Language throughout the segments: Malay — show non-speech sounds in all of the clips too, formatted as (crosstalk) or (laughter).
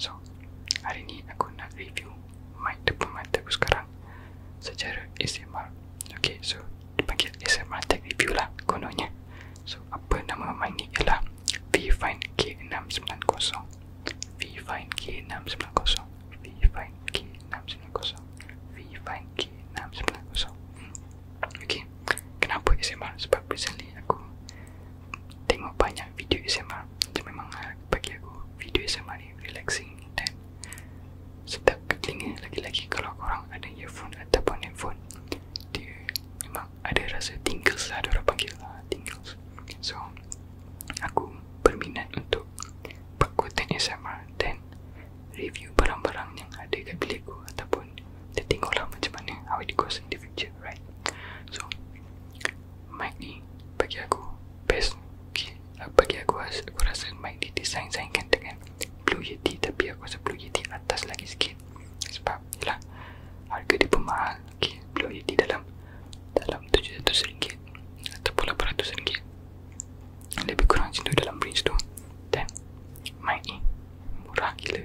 So, hari ni aku nak review mic depan mata aku sekarang secara ASMR. Okay, so dipanggil ASMR tech review lah kononnya. So, apa nama mic ni ialah Vfine K690. Vfine K690. Okay, kenapa ASMR? Sebab recently aku tengok banyak video SMA Itu memang ah, bagi aku video SMA ni relaxing dan sedap ke telinga lagi-lagi kalau korang ada earphone ataupun handphone dia memang ada rasa tingles lah orang panggil lah tingles so aku berminat untuk perkuatan SMA dan review barang-barang yang ada kat bilik aku ataupun dia tengok lah macam mana how it goes in the future right so mic ni bagi aku best bagi aku aku rasa mic design sayangkan dengan Blue Yeti tapi aku rasa Blue Yeti atas lagi sikit sebab yelah harga dia pun Blue Yeti dalam dalam RM700 ataupun RM800 lebih kurang macam dalam range tu dan mic murah gila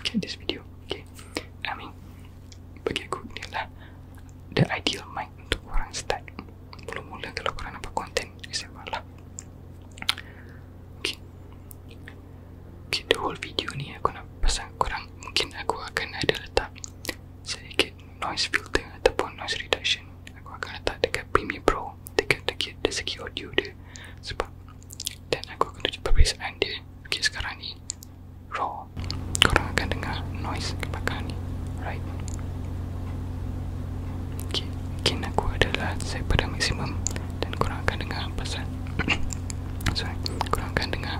okay, this video, okay. I mean, bagi aku ni lah the ideal mic untuk orang start. Mula-mula kalau korang nampak content, siapa lah. Okay. Okay, the whole video ni aku nak pasang korang. Mungkin aku akan ada letak sedikit noise filter ataupun noise reduction. Aku akan letak dekat Premiere Pro, dekat dekat dari segi audio dia. Sebab dan aku akan tunjuk perbezaan dia. Okay, sekarang ni raw korang akan dengar noise kebakaran ni right ok gain aku adalah saya pada maksimum dan korang akan dengar pasal (coughs) sorry korang akan dengar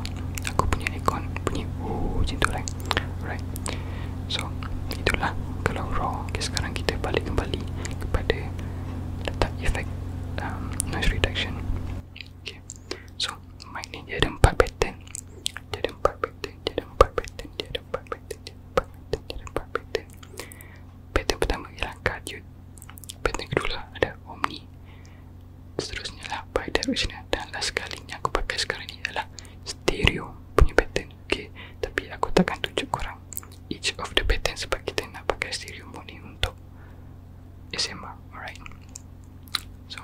aku punya aircon bunyi oh macam tu lah right? right so itulah kalau raw ok sekarang kita balik kembali kepada letak efek um, noise reduction of the pattern sebab kita nak pakai stereo mode ni untuk December, alright? So,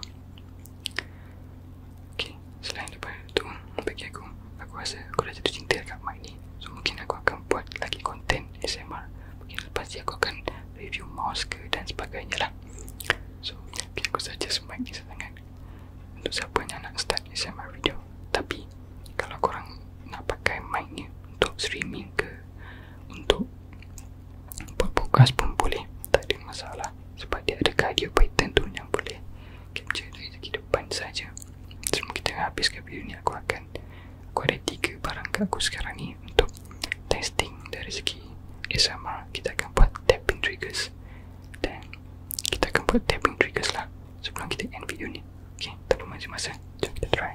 okay, selain daripada tu, bagi aku, aku rasa aku dah jatuh cinta dekat mic ni. So, mungkin aku akan buat lagi konten ASMR. Mungkin lepas ni aku akan review mouse ke dan sebagainya lah. So, mungkin aku saja mic ni sangat. Untuk siapa yang nak start ASMR video. Tapi, kalau korang nak pakai mic ni untuk streaming ke, untuk buat podcast pun boleh tak ada masalah sebab dia ada cardio python tu yang boleh capture dari segi depan saja. semua kita habiskan video ni aku akan aku ada tiga barang kat aku sekarang ni untuk testing dari segi ASMR kita akan buat tapping triggers dan kita akan buat tapping triggers lah sebelum kita end video ni ok tak perlu masa-masa jom kita try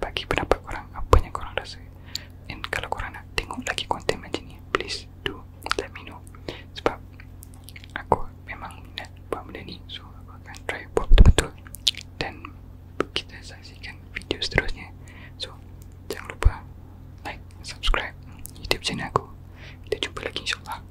bagi pendapat korang apa yang korang rasa and kalau korang nak tengok lagi konten macam ni please do let me know sebab aku memang minat buat benda ni so aku akan try buat betul-betul dan kita saksikan video seterusnya so jangan lupa like subscribe youtube channel aku kita jumpa lagi insyaAllah